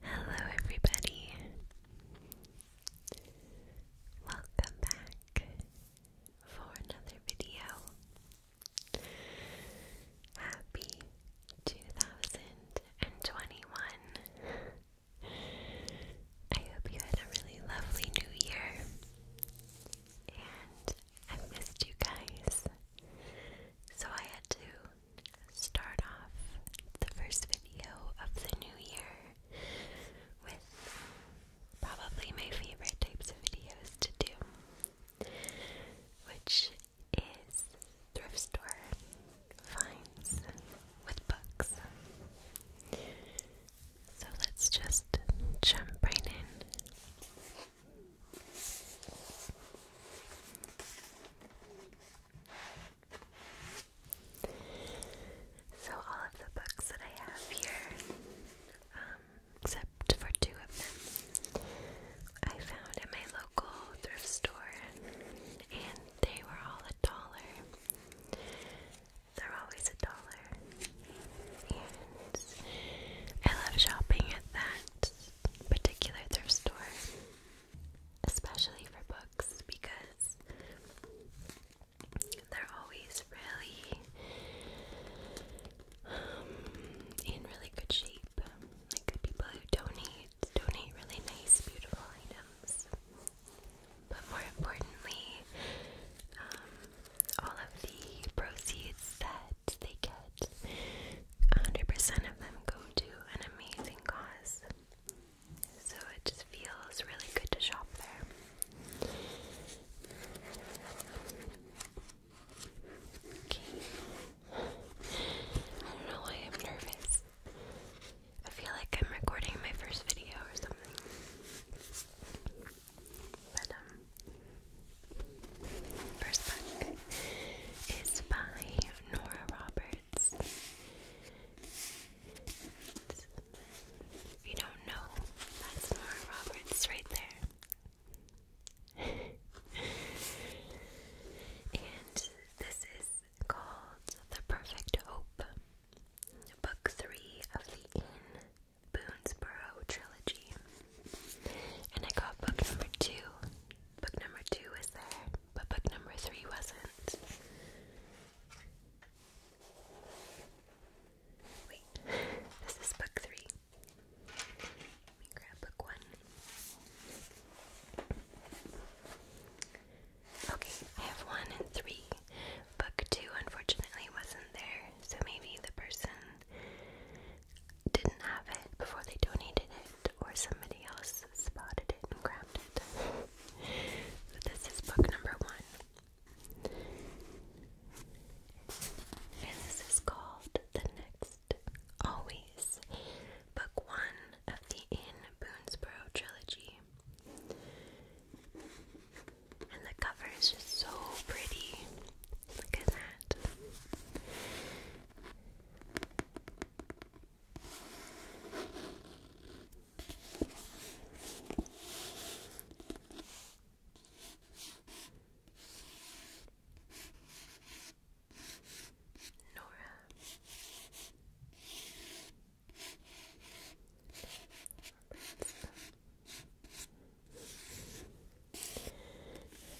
Hello, everybody. Welcome back for another video. Happy 2021. I hope you had a really lovely new year. And i missed you guys. So I had to start off the first video of the new year with probably my favorite types of videos to do, which is thrift store finds with books. So let's just jump right in. So all of the books that I have here, um, except for two of them, I found at my local thrift store, and they were all a dollar. They're always a dollar, and I love shopping at that particular thrift store especially for books because they're always really um, in really good shape. Like people who donate donate really nice, beautiful items. But more importantly, um, all of the proceeds that they get, 100% of them go to an amazing cause. So it just feels really good to shop there. I don't know why I'm nervous. I feel like I'm recording my first video or something. But, um, first book is by Nora Roberts you don't know, that's Nora Roberts right there. and this is called The Perfect Hope, Book 3 of the In Boonesboro trilogy. And I got book number 2. Book number 2 is there but book number three wasn't. Wait, this is book three. Let me grab book one. Okay, I have one and three. Book two, unfortunately, wasn't there, so maybe the person didn't have it before they donated it or somebody else spotted it and grabbed it. this is book number one. And this is called The Next Always, book one of the In Boonesboro trilogy. And the cover is just so pretty. Look at that. Nora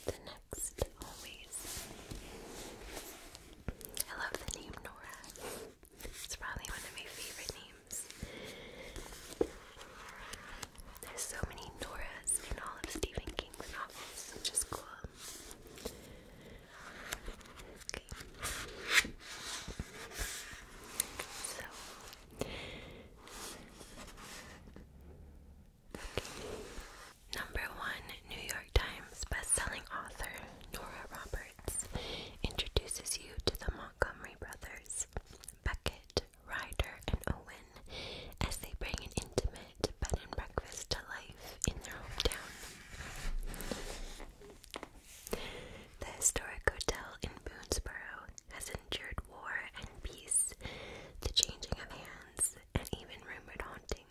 the always. I love the name Nora. It's probably one of my favorite names. There's so many Noras in all of Stephen King's novels, which is cool. Number one New York Times bestselling author Nora Roberts introduces you to the Montgomery brothers, Beckett, Ryder, and Owen, as they bring an intimate bed and breakfast to life in their hometown. The historic hotel in Boonesboro has endured war and peace, the changing of hands, and even rumored haunting.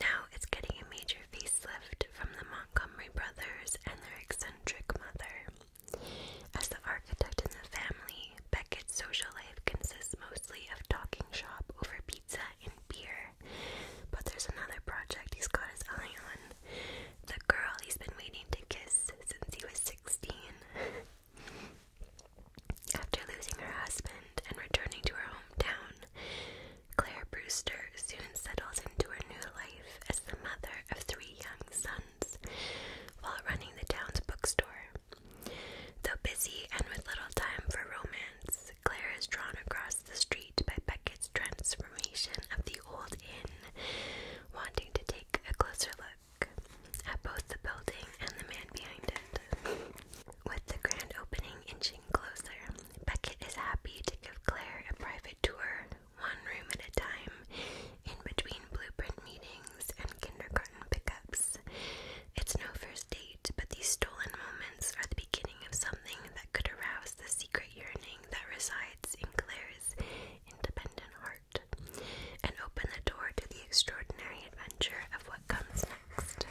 Now it's getting a major facelift from the Montgomery brothers and their eccentric mother. As the architect in the family, Beckett's social life consists mostly of talking shop over pizza and beer. But there's another project he's got his eye on the girl he's been waiting to kiss since he was 16. After losing her husband and returning to her hometown, Claire Brewster soon settles into her new life as the mother of three young sons while running the town's bookstore. Though busy and with little time for romance, Claire is drawn across the street by Beckett's transformation of the old inn, wanting to take a closer look at both the building and the man behind it. With the grand opening inching closer, Beckett is happy to give Claire a private tour, one room at a time, in between blueprint meetings and kindergarten pickups. It's no first date, but these stolen moments are the beginning of something that could arouse the secret yearning that resides in Claire's independent heart and open the door to the extraordinary adventure of what comes next.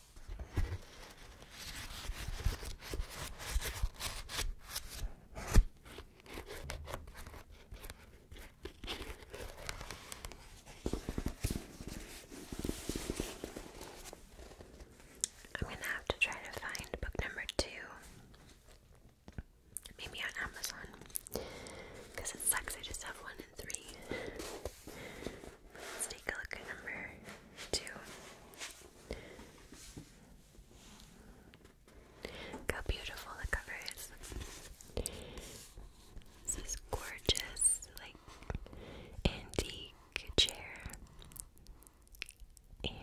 I'm going to have to try to find book number two. Maybe on Amazon. Because it sucks, I just have one and three. Let's take a look at number two. Look how beautiful the cover is. This gorgeous, like antique chair and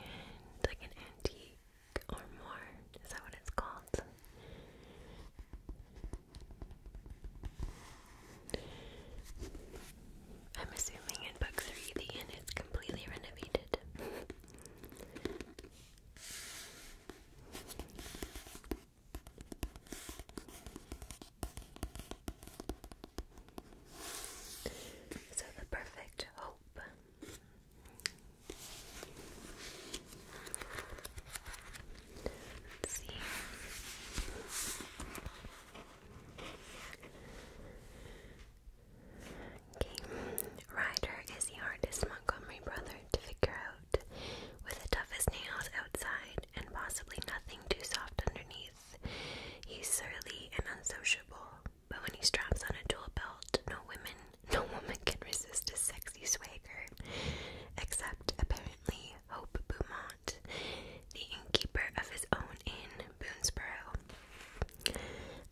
like an antique or Is that what it's called? I'm assuming in book three the inn is completely renovated. so the perfect hope. Let's see. Okay, is the hardest Montgomery brother to figure out, with the toughest nails outside and possibly nothing too soft underneath. He's surly and unsociable, but when he straps on a dual belt, no women, no woman can resist his sexy swagger. Except apparently Hope Beaumont, the innkeeper of his own inn, Boonesborough.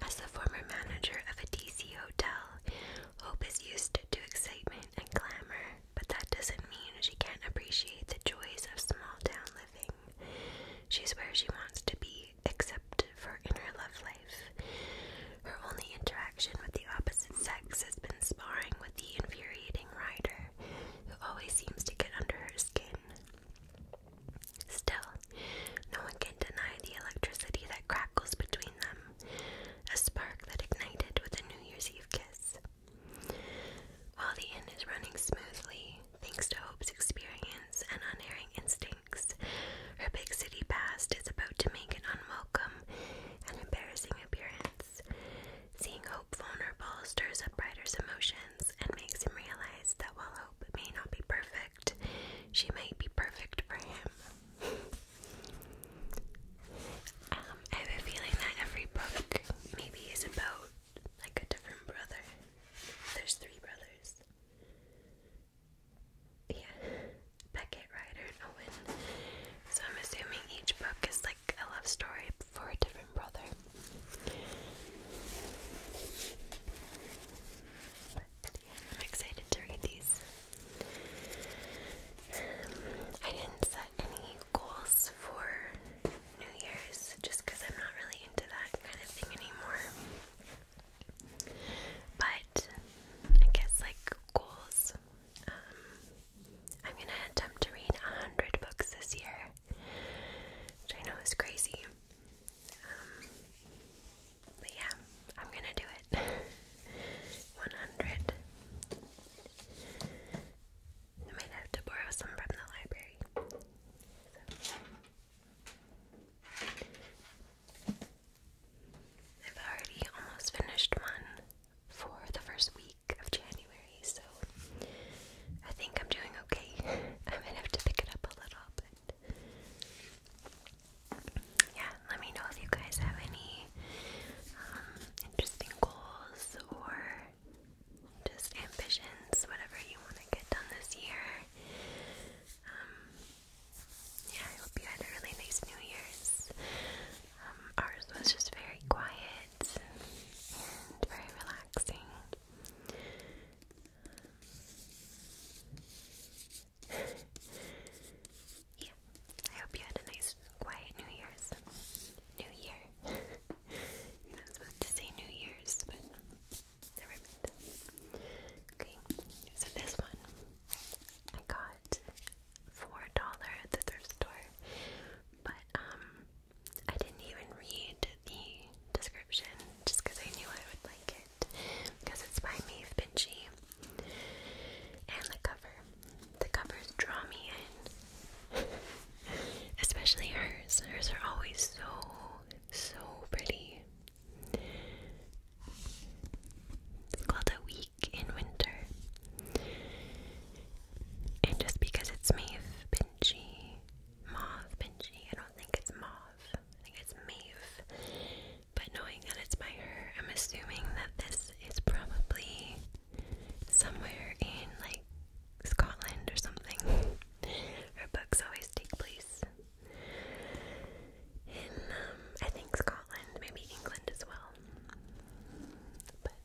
As the former manager of a DC hotel, Hope is used to excitement and glamour, but that doesn't mean she can't appreciate the joys of small town living. She's where she wants to be, except for in her love life. Her only interaction with the opposite sex has been sparring with the infuriating rider, who always seems to get under her skin. Still, no one can deny the electricity that crackles between them, a spark that ignited with a New Year's Eve kiss. While the inn is running smoothly, thanks to Hope's experience and unerring instincts, her big city past is about to make an unwelcome and embarrassing appearance. Seeing Hope vulnerable stirs up Ryder's emotion, and makes him realize that while Hope may not be perfect, she might be perfect for him. Um, I have a feeling that every book maybe is about like a different brother. There's three brothers. Yeah, Beckett, Ryder, Owen. So I'm assuming each book is like a love story for a different brother. I'm excited to read these. I didn't set any goals for New Year's just because I'm not really into that kind of thing anymore. But I guess, like, goals. Um, I'm gonna attempt to read 100 books this year. I know it's crazy. Um, but yeah, I'm gonna do it. 100. I might have to borrow some from the library. I've already almost finished one for the first week of January so I think I'm doing okay. I am gonna have to pick it up a little, but yeah, let me know if you guys have any um, interesting goals or just ambitions, whatever you want to get done this year. Um, yeah, I hope you had a really nice New Year's. Um, ours was just very quiet and very relaxing. yeah, I hope you had a nice, quiet New Year's. New Year. I was about to say New Year's, but never mind. Okay, so this one I got $4 at the thrift store, but um, I didn't even read the description just because I knew I would like it because it's by Maeve Binchy. And the cover. The covers draw me in. Especially hers. Hers are always so, so pretty. It's called A Week in Winter. And just because it's Maeve Binchy, mauve Benji. I don't think it's mauve. I think it's mauve. But knowing that it's by her, I'm assuming that this is probably somewhere in like Scotland or something. Her books always take place in, um, I think Scotland, maybe England as well.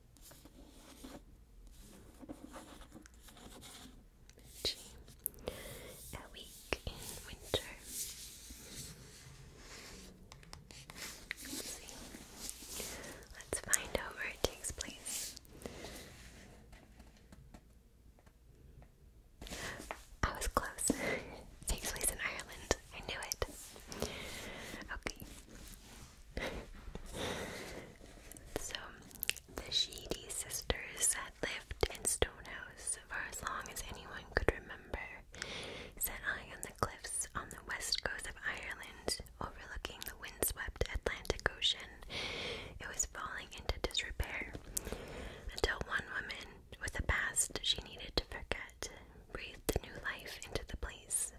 A week in winter. Let's find out where it takes place. I was close. takes place in Ireland. I knew it. Okay. so, the Sheedy sisters had lived in Stonehouse for as long as anyone could remember, set high on the cliffs on the west coast of Ireland, overlooking the windswept Atlantic Ocean. It was falling into disrepair until one woman, with a past she needed to forget, breathed new life into the place.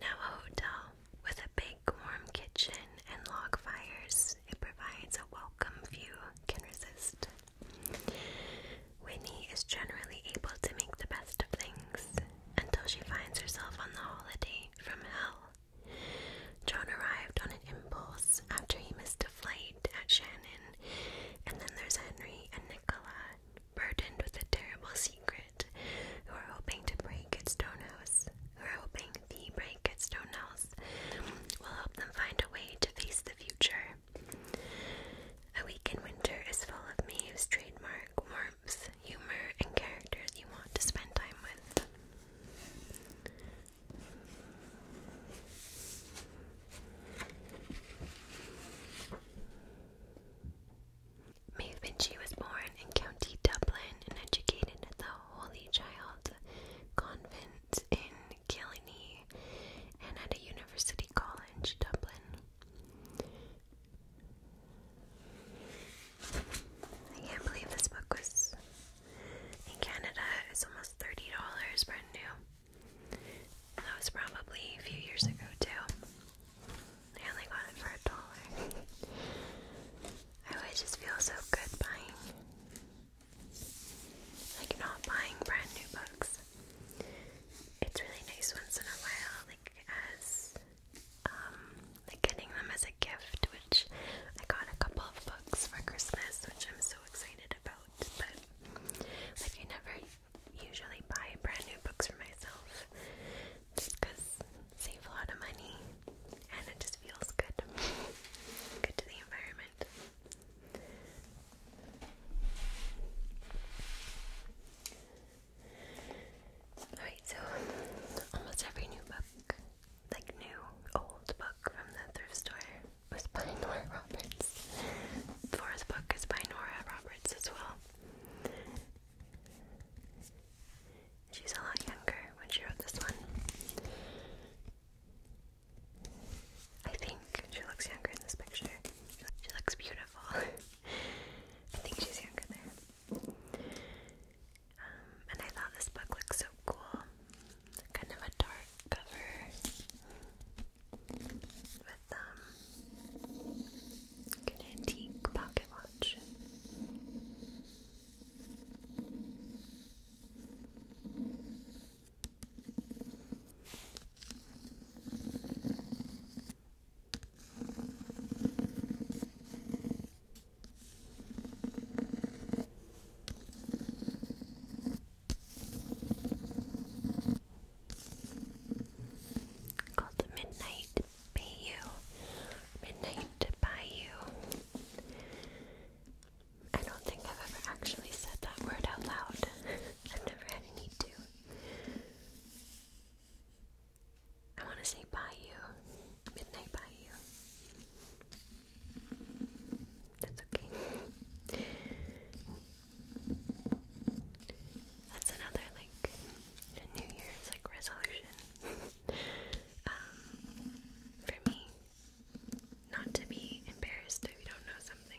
Now a hotel with a bay warm kitchen and log fires, it provides a welcome view. can resist. Winnie is generally able to make the best of things until she finds herself on the holiday from hell. John arrived on an impulse after he missed a flight at Shannon, and then there's Henry and Nicola, burdened with a terrible secret who are hoping to break at Stonehouse, who are hoping the break at Stonehouse will help them find a way to face the future. A week in winter is full of Mavis' trademark warmth, humor, and characters you want to spend time with. Mavenchi was born in County Dublin and educated at the Holy Child Convent in Killiney and at University College, Dublin. I can't believe this book was in Canada. It's almost thirty dollars brand new. That was probably a few years ago too. I only got it for a dollar. I always just feel so good buying. Like, not buying brand new books. It's really nice once in a while, like, as, um, like getting them as a gift, which I got a couple of books for Christmas, which I'm so excited about. But, like, I never usually buy brand new books for myself just because save a lot of money and it just feels good. good to the environment. Alright, so almost every new book, like new, old book from the thrift store, was by Nora Roberts. Flora's book is by Nora Roberts as well. She's a lot younger when she wrote this one. I think she looks younger in this picture. She looks beautiful. I think she's younger there. Um, and I thought this book looks so cool. Kind of a dark cover with um, an antique pocket watch. Called the Midnight pay you, midnight to you. I don't think I've ever actually said that word out loud. I've never had a need to. I want to say by you, midnight by you. That's okay. That's another like New Year's like resolution. um, for me not to be embarrassed if you don't know something.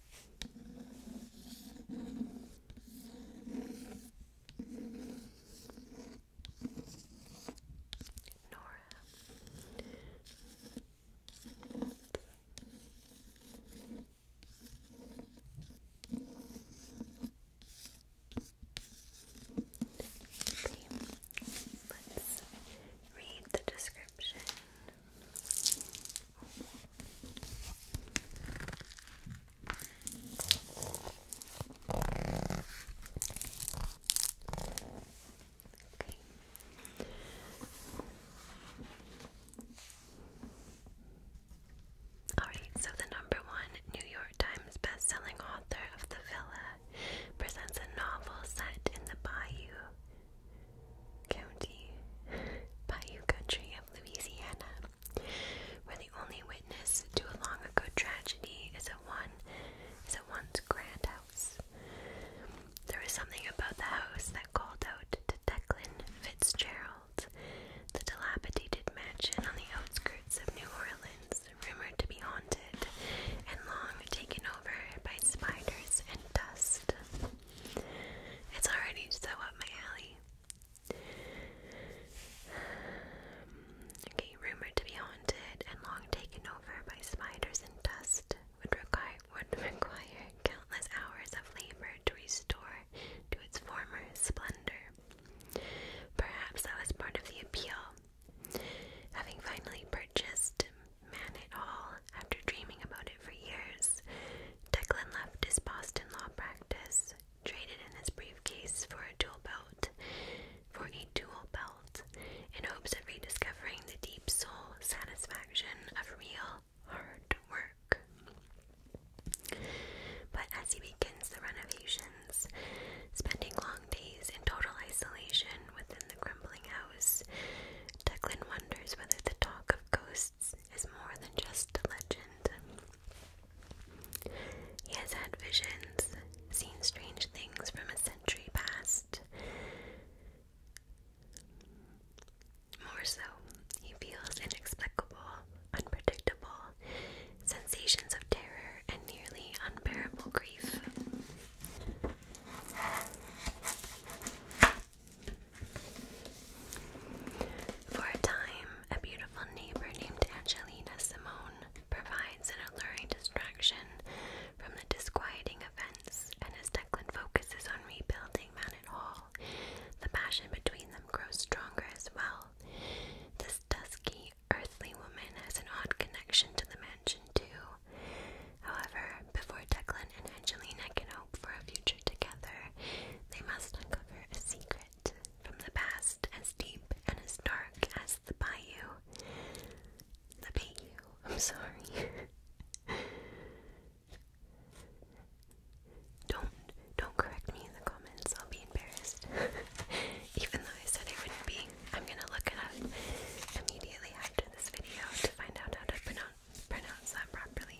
Nora. Okay. Let's read the description Alright, so the number one New York Times best author of The Villa presents a novel set in the bayou County, Bayou Country of Louisiana, where the only witness to a long ago tragedy is a one is a once grand house. There was something about the house that called out to Declan Fitzgerald, the dilapidated mansion on the outskirts of New Orleans, rumored to be haunted and long taken over by spiders and dust. It's already so up my alley. Okay, rumored to be haunted and long taken over by spiders and dust, would require would require countless hours of labor to restore to its former splendor. Perhaps that was part of the appeal. Having finally purchased Man it all, after dreaming about it for years, Declan left his Boston law practice, traded in his briefcase for a dual belt, for a dual belt, in hopes of rediscovering the deep soul satisfaction of real hard work. But as he begins the renovations, spending long days in total isolation within the crumbling house, Declan whether the talk of ghosts is more than just a legend. He has had visions, seen strange things from a century past. More so, he feels inexplicable, unpredictable sensations of terror and nearly unbearable grief. For a time, a beautiful neighbor named Angelina Simone provides an alluring distraction from the disquieting events, and as Declan focuses on rebuilding Manet Hall, the passion between them grows stronger as well. This dusky, earthly woman has an odd connection to the mansion, too, However, before Declan and Angelina can hope for a future together, they must uncover a secret from the past as deep and as dark as the bayou. The bayou, I'm sorry. don't don't correct me in the comments, I'll be embarrassed. Even though I said I wouldn't be, I'm gonna look it up immediately after this video to find out how to pronounce pronounce that properly.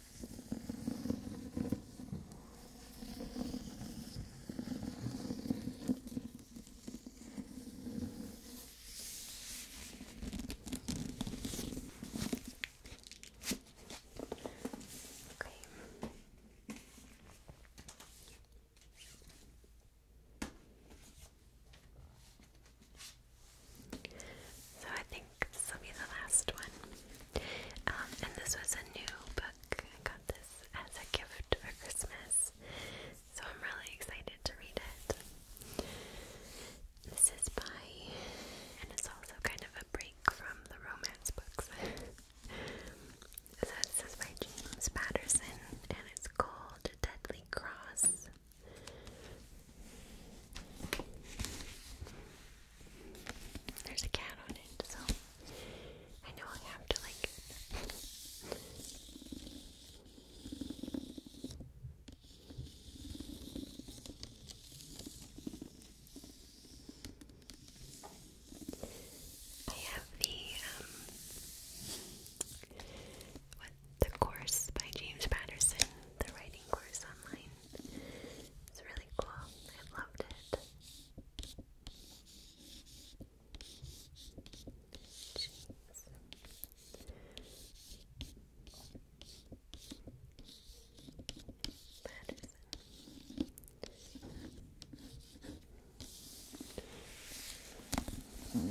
Okay. So I think this will be the last one. Um, and this was a new book. I got this as a gift for Christmas, so I'm really excited to read it. This is by, and it's also kind of a break from the romance books. this is by James Patterson, and it's called Deadly Cross. There's a cat on it, so I know I have to like I have the um, what the course by James Patterson, the writing course online. It's really cool. I loved it. Hmm.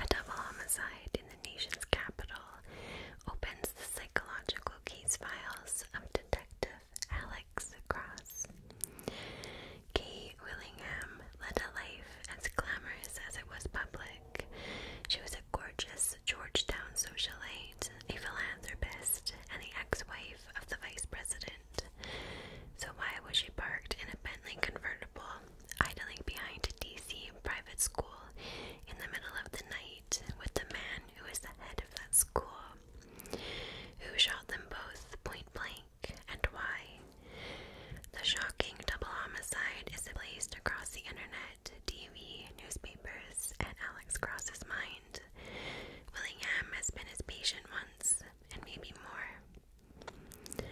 A double homicide in the nation's capital opens the psychological case files of Detective Alex Cross. Kate Willingham led a life as glamorous as it was public. She was a gorgeous Georgetown socialite, a philanthropist, and the ex wife of the vice president. So, why was she parked in a Bentley convertible idling behind a DC private school in the middle of the night with the man who is the head of that school, who shot them both point blank, and why. The shocking double homicide is placed across the internet, TV, newspapers, and Alex Cross's mind. Willingham has been his patient once, and maybe more.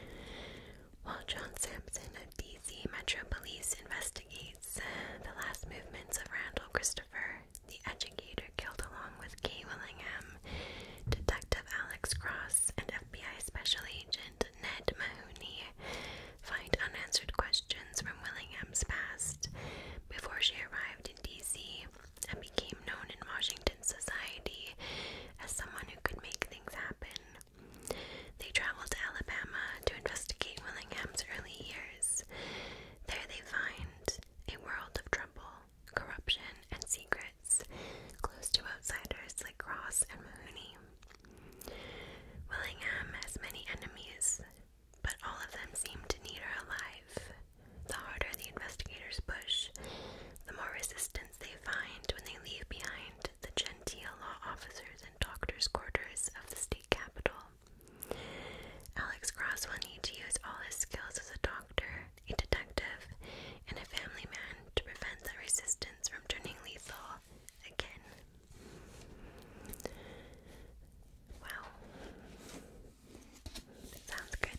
While John Sampson of D.C. Metro Police investigates uh, the last movements of Randall Christopher, the educator killed along with Kay Willingham, Detective Alex Cross, and FBI Special Agent Ned Mahoney find unanswered questions from Willingham's past. Before she arrived in D.C. and became known in Washington society as someone who could make things happen, they travel to Alabama to investigate Willingham's early years. There they find a world of trouble, corruption, and secrets, close to outsiders like Ross and Mahoney. Willingham has many enemies, but all of them seem to need her alive. The harder the investigators push, the more resistance they find when they leave behind the genteel law officers doctors' quarters of the state capital. Alex Cross will need to use all his skills as a doctor, a detective, and a family man to prevent the resistance from turning lethal again. Wow. Sounds good.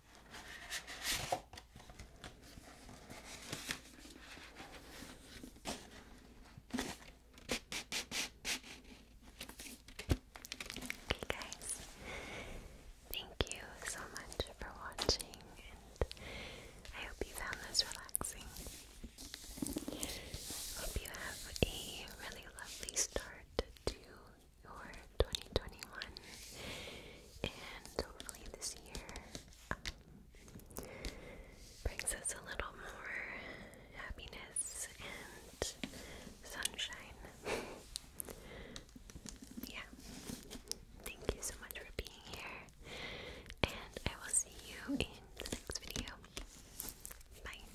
Okay, guys, thank you so much for watching, and I hope you found this relaxing. Hope you have a really lovely start to for 2021, and hopefully this year um, brings us a little more happiness and sunshine. yeah, thank you so much for being here, and I will see you in the next video. Bye.